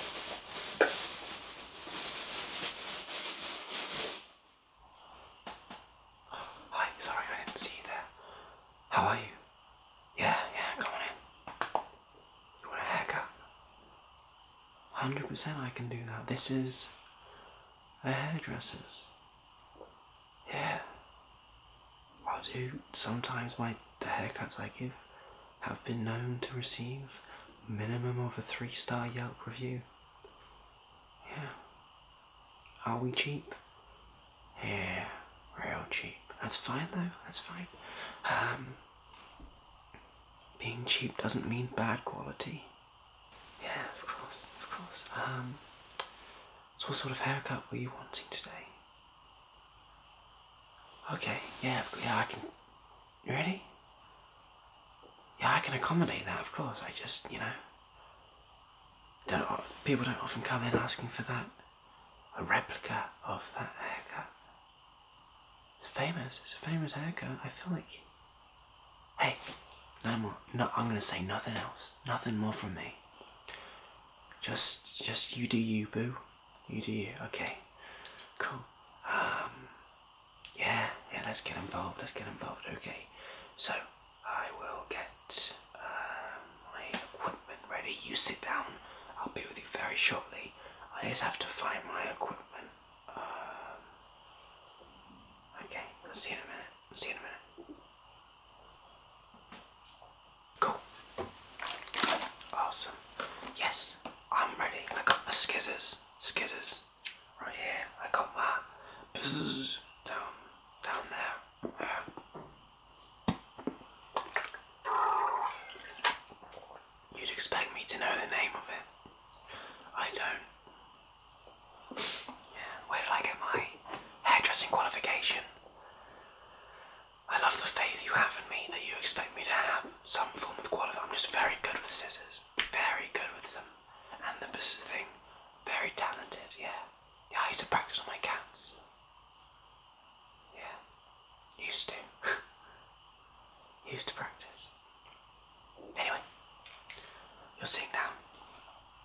Hi, sorry I didn't see you there. How are you? Yeah, yeah, come on in. You want a haircut? 100% I can do that. This is a hairdresser's. Yeah. I do sometimes my the haircuts I give have been known to receive minimum of a three-star Yelp review. Yeah. Are we cheap? Yeah, real cheap. That's fine though, that's fine. Um being cheap doesn't mean bad quality. Yeah, of course, of course. Um so what sort of haircut were you wanting today? Okay, yeah, yeah, I can. You ready? Yeah, I can accommodate that, of course. I just, you know, don't people don't often come in asking for that a replica of that haircut. It's famous. It's a famous haircut. I feel like. Hey, no more. No, I'm gonna say nothing else. Nothing more from me. Just, just you do you, boo. You do Okay. Cool. Um, yeah, yeah, let's get involved. Let's get involved. Okay. So, I will get um, my equipment ready. You sit down. I'll be with you very shortly. I just have to find my equipment. Um, okay, Let's see in a minute. I'll see in a minute. Cool. Awesome. Yes, I'm ready. I got my skizzers. Skizzers. Right here. I got my down down there. You'd expect me to know the name of it. I don't. Yeah. Where did I get my hairdressing qualification? I love the faith you have in me that you expect me to have some form of quality. I'm just very good with scissors, very good with them, and the best thing, very talented. Yeah, yeah. I used to practice on my cats. Yeah, used to, used to practice. Anyway, you're seeing now.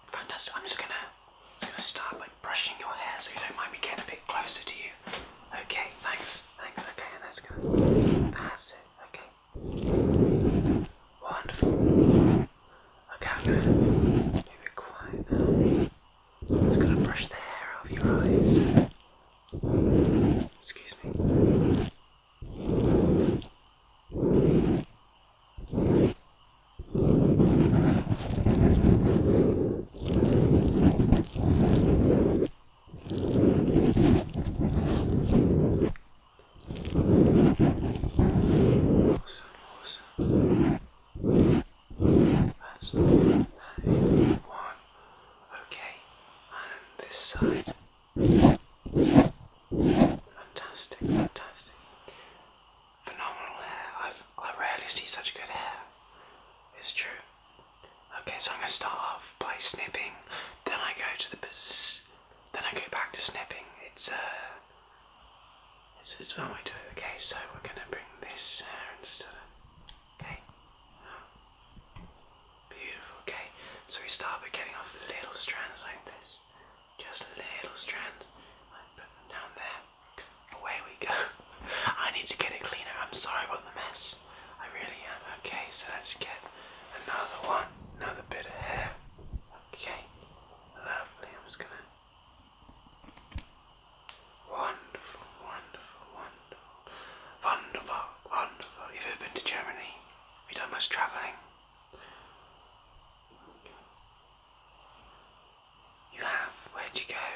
Fantastic. I'm just gonna, just gonna start by brushing your hair so you don't mind me getting a bit closer to you. Okay, thanks, thanks, okay, and that's going that's it, okay. Wonderful. Okay, be quiet I'm just gonna brush the hair out your eyes. Excuse me. Okay, Awesome, awesome. That's the one. That is the one. Okay, and this side. Fantastic, fantastic. Phenomenal hair. I've, I rarely see such good hair. It's true. Okay, so I'm gonna start off by snipping, then I go to the then I go back to snipping. It's uh, it's, it's one way to it. Okay, so we're gonna bring this hair uh, instead of okay. Beautiful. Okay, so we start by getting off little strands like this, just little strands. I put them down there. Away we go. I need to get it cleaner. I'm sorry about the mess. I really am. Okay, so let's get another one, another bit of hair. Okay, lovely. I'm just gonna. Wonderful, wonderful, wonderful. Wunderbar, wonderful. Have ever been to Germany? Have you done much travelling? You have? Where'd you go?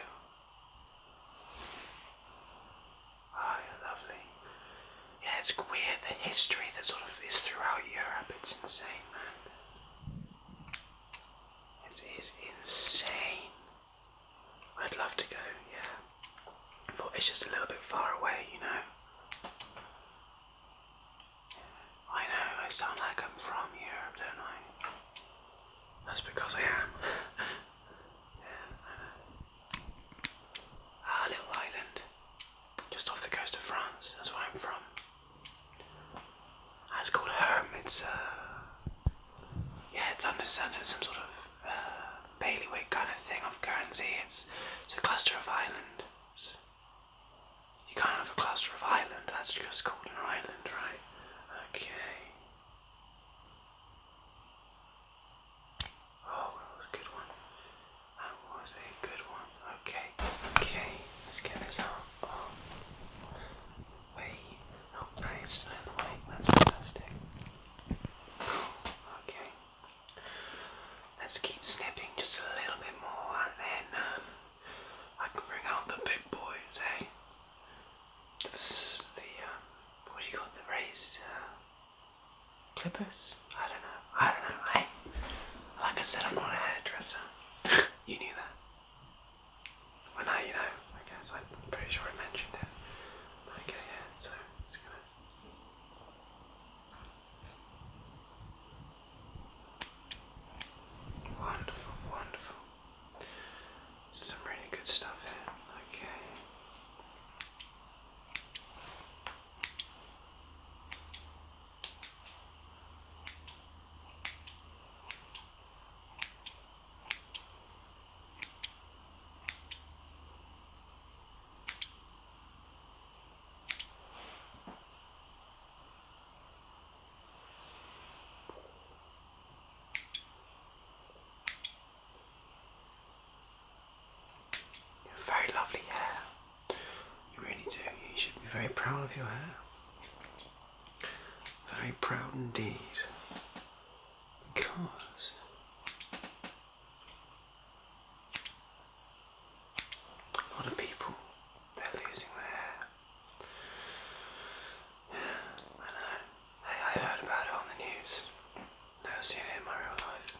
Oh, lovely. Yeah, it's queer the history that sort of is throughout Europe. It's insane, man. It is insane. I'd love to go, yeah. But it's just a little bit far away, you know. I know, I sound like I'm from Europe, don't I? That's because I am. yeah, ah, little island, just off the coast of France. That's where I'm from. Uh, it's called Herm. It's uh, yeah, it's under some sort of uh, Baileywick kind of thing of Guernsey. It's it's a cluster of islands. You can't have a cluster of islands. that's just called an island, right? Okay. Oh, that was a good one. That was a good one. Okay. Okay, let's get this out. Oh. Wait. Oh, nice. Out way. That's fantastic. Okay. Let's keep snipping just a little bit more and then um, I can bring out the big boys, eh? The, the um, what do you call the raised uh, clippers? I don't know. I don't know. Hey, like I said, I'm not a hairdresser. you knew that. When I, you know. I guess I'm pretty sure I mentioned it. Okay, yeah. So it's gonna. Wonderful, wonderful. Some really good stuff here. Okay. You very lovely hair. You really do. You should be very proud of your hair. Very proud indeed. Because a lot of people, they're losing their hair. I know. Hey, I heard about it on the news. Never seen it in my real life.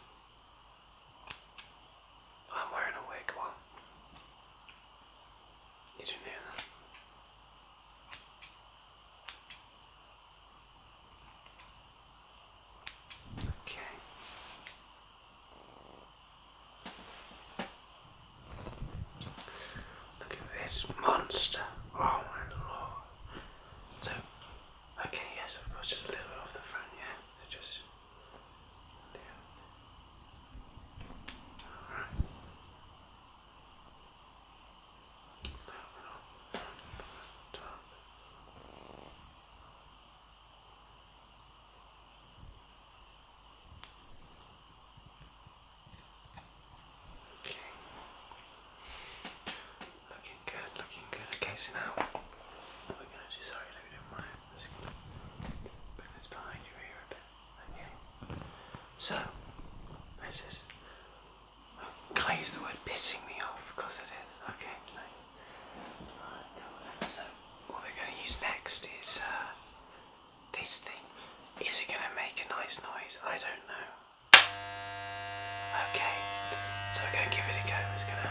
I'm wearing a wig one. didn't hear that? Okay. Look at this monster. Oh my lord. So, okay, yes, of course, just a little bit off the front, yeah? So just. Yeah. Okay. Looking good, looking good. Okay, so now what we're gonna do, sorry, look at my I'm just gonna put this behind your ear a bit. Okay. So this is can I use the word pissing me off? Because it is. Okay, so what we're gonna use next is uh, this thing. Is it gonna make a nice noise? I don't know. Okay, so we're gonna give it a go. It's gonna.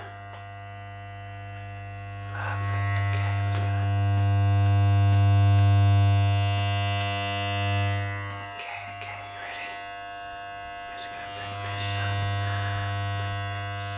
Perfect. Um, okay. Okay, ready? I'm gonna bring this up.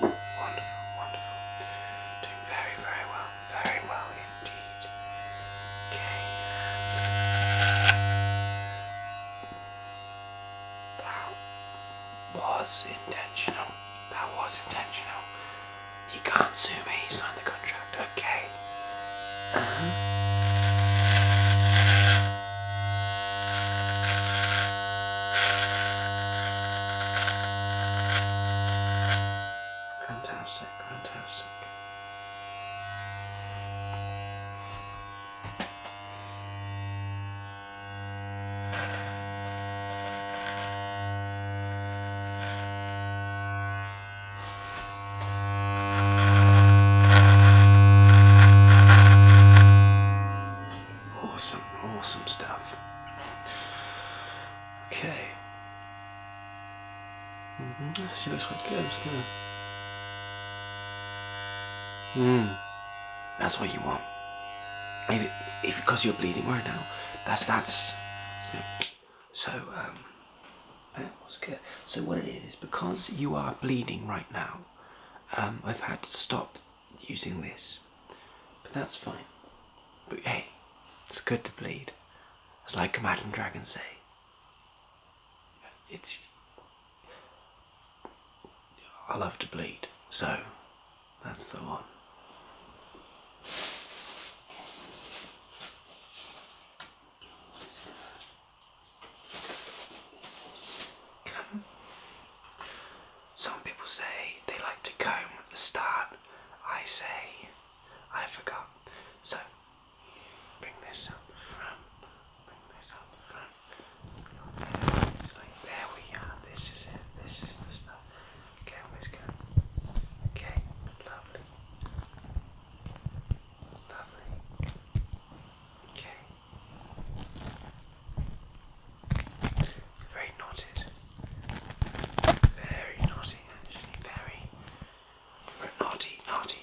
Wonderful, wonderful. Doing very, very well. Very well indeed. Okay. That was intentional. That was intentional. You can't sue me, you signed the contract, okay. Uh-huh. Fantastic, fantastic. Awesome, awesome stuff. Okay. -hmm. This looks quite good. Mmm. That's what you want. Maybe it, if because you're bleeding right now, that's that's. So um, that was good. So what it is is because you are bleeding right now. Um, I've had to stop using this. But that's fine. But hey, it's good to bleed. It's like a Madam Dragon say. It's I love to bleed, so that's the one. Some people say they like to comb at the start. I say I forgot. So bring this out the front. Bring this out the front. It's like there we are. This is it. This is the stuff. Okay, where's going? Okay, lovely. Lovely. Okay. Very knotted. Very naughty, actually. Very naughty, naughty.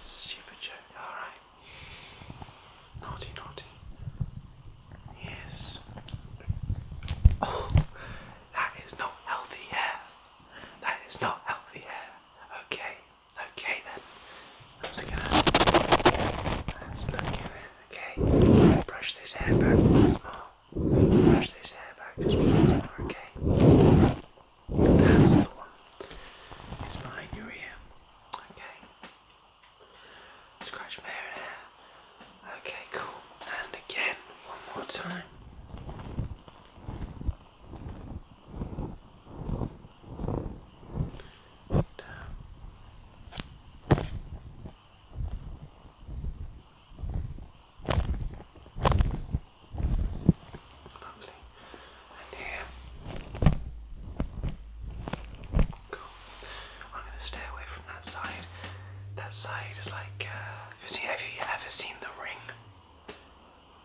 stupid joke. Alright. Naughty, naughty. Yes. Oh, that is not healthy hair. That is not healthy hair. Okay. Okay then. I'm just gonna look in it. Okay. Brush this hair back once more. Brush this hair back just once more, okay? That's the one. It's behind your ear. Okay. Scratch my Okay, cool. And again, one more time lovely. And here. Cool. I'm going to stay away from that side. That side is like. Uh, have you ever seen The Ring?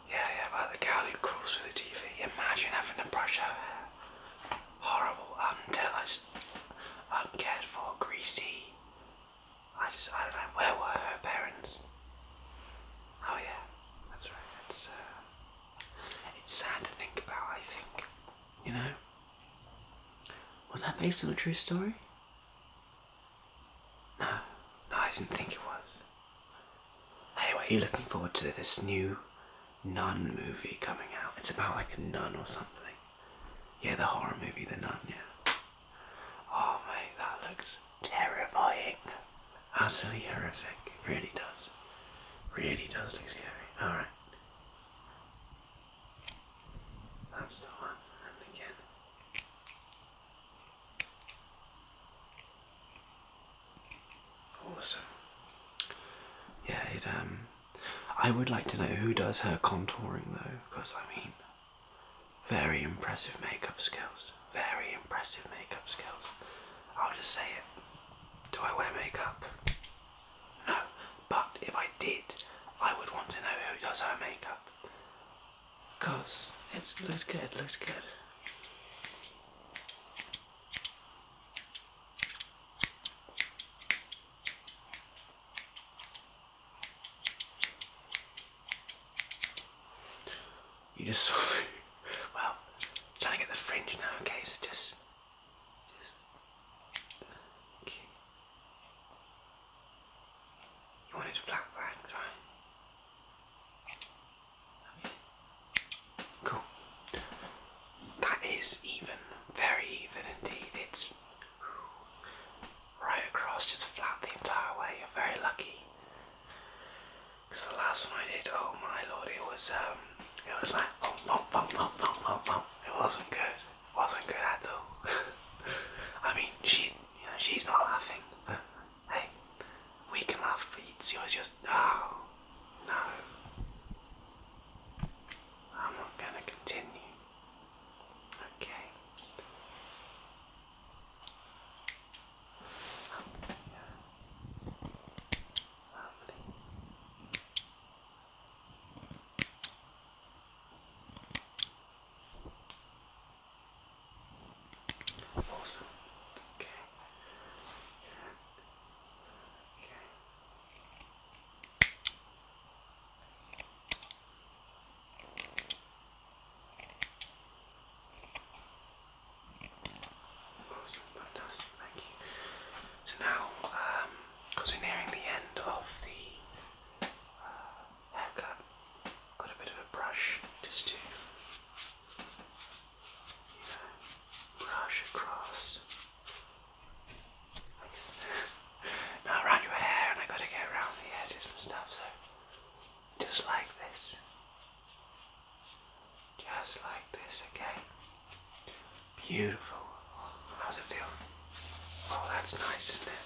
Yeah, yeah, about the girl who crawls through the TV. Imagine having to brush her hair. Horrible, until uncared for, greasy. I just, I don't know, where were her parents? Oh yeah, that's right, it's, uh, it's sad to think about, I think, you know? Was that based on a true story? No, no, I didn't think it was. Hey, are you looking forward to this new nun movie coming out? It's about like a nun or something. Yeah, the horror movie, The Nun, yeah. Oh, mate, that looks terrifying. Utterly horrific. It really does. Really does look scary. Alright. That's the one. And again. Awesome. Yeah, it um I would like to know who does her contouring though, because I mean very impressive makeup skills. Very impressive makeup skills. I'll just say it. Do I wear makeup? No. But if I did, I would want to know who does her makeup. Cause it looks good, looks good. You just saw Well, trying to get the fringe now, okay, so just just okay. You flat bangs, right? Cool. That is even, very even indeed. It's right across, just flat the entire way. You're very lucky. Because the last one I did, oh my lord, it was um, it was like oh, oh, oh, oh, oh, oh, it wasn't good, it wasn't good at all. I mean, she, you know, she's not laughing. Hey, we can laugh, but it's yours just. Oh, no. I'm not gonna continue. Okay. Awesome. Okay. Okay. Awesome, fantastic, thank you. So now, because um, we're nearing the end of the uh, haircut. Got a bit of a brush just to you know, brush across. now around your hair and I gotta get around the edges and stuff, so just like this. Just like this, okay? Beautiful. How's it feel? Oh, that's nice, isn't it?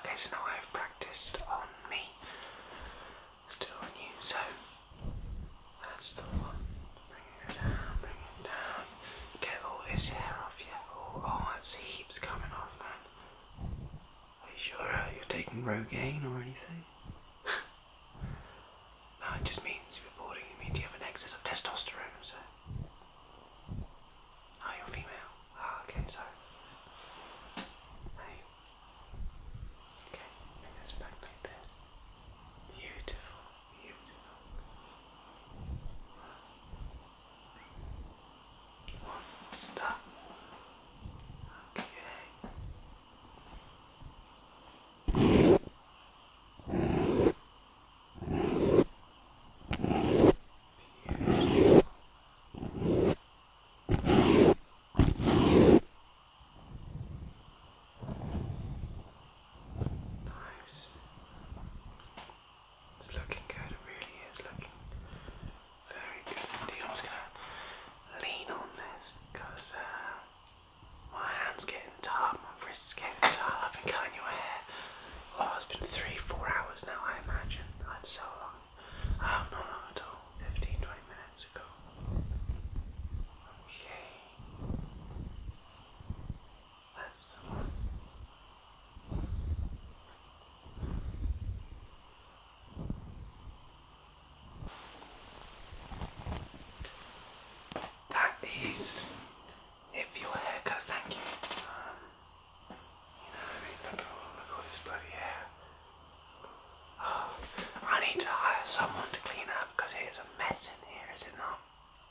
Okay, so now I've practiced on me. Let's do it on you. So that's the one. Bring it down, bring it down. Get all this hair off you. Oh, oh it's heaps coming off, man. Are you sure uh, you're taking Rogaine or anything? no, it just means you're boarding. It means you have an excess of testosterone, Oh, you're female. Ah, okay, sorry. Hey. Okay, bring this back like this. Beautiful, beautiful. One, stop. Okay. Nice. It's looking good, it really is looking very good indeed. I'm just gonna lean on this because uh, my hand's getting tired, my wrist's getting tired. I've been cutting your hair Oh, it's been three, four hours now, I imagine. That's so long. Oh, not long at all. 15, minutes ago. Okay. That's That is if your haircut, thank you. Um, you know, I mean, look, at all this bloody hair. Oh, I need to hire someone to clean up because it is a mess in here, is it not?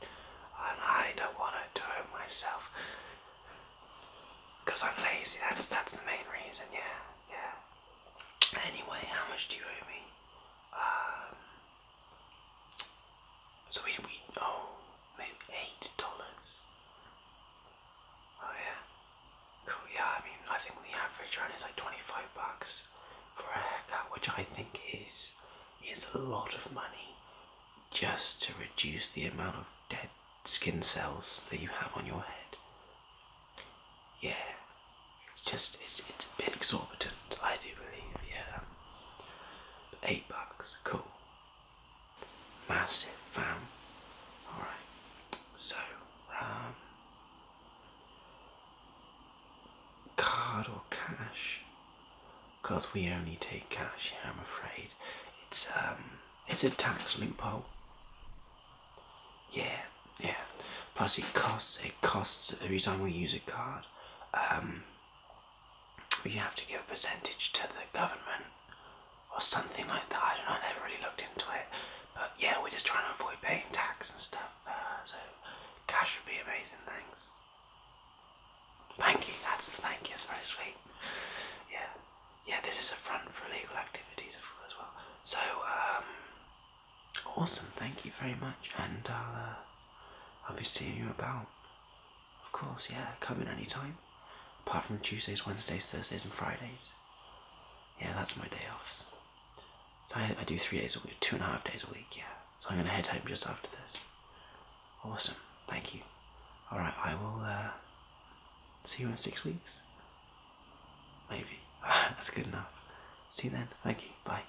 And I don't want to do it myself because I'm lazy. That's that's the main reason. Yeah, yeah. Anyway, how much do you owe me? Um, so we we oh maybe eight dollars. Oh yeah. Yeah, I mean I think the average run is like twenty five bucks for a haircut, which I think is is a lot of money just to reduce the amount of dead skin cells that you have on your head. Yeah. It's just it's it's a bit exorbitant, I do believe, yeah. Eight bucks, cool. Massive fam. Alright, so, um, card or cash? Because we only take cash here, I'm afraid. It's, um, it's a tax loophole. Yeah, yeah. Plus, it costs. It costs every time we use a card. Um, you have to give a percentage to the government or something like that. I don't know, I never really looked into it. But yeah, we're just trying to avoid paying tax and stuff. Uh, so cash would be amazing, thanks. Thank you, that's thank you, that's very sweet. Yeah, yeah, this is a front for illegal activities as well. So, um, awesome, thank you very much, and I'll be seeing you about. Of course, yeah, come in any time. Apart from Tuesdays, Wednesdays, Thursdays, and Fridays. Yeah, that's my day offs. So I, I do three days a week, two and a half days a week, yeah. So I'm gonna head home just after this. Awesome, thank you. Alright, I will uh, see you in six weeks. Maybe. that's good enough. See you then, thank you, bye.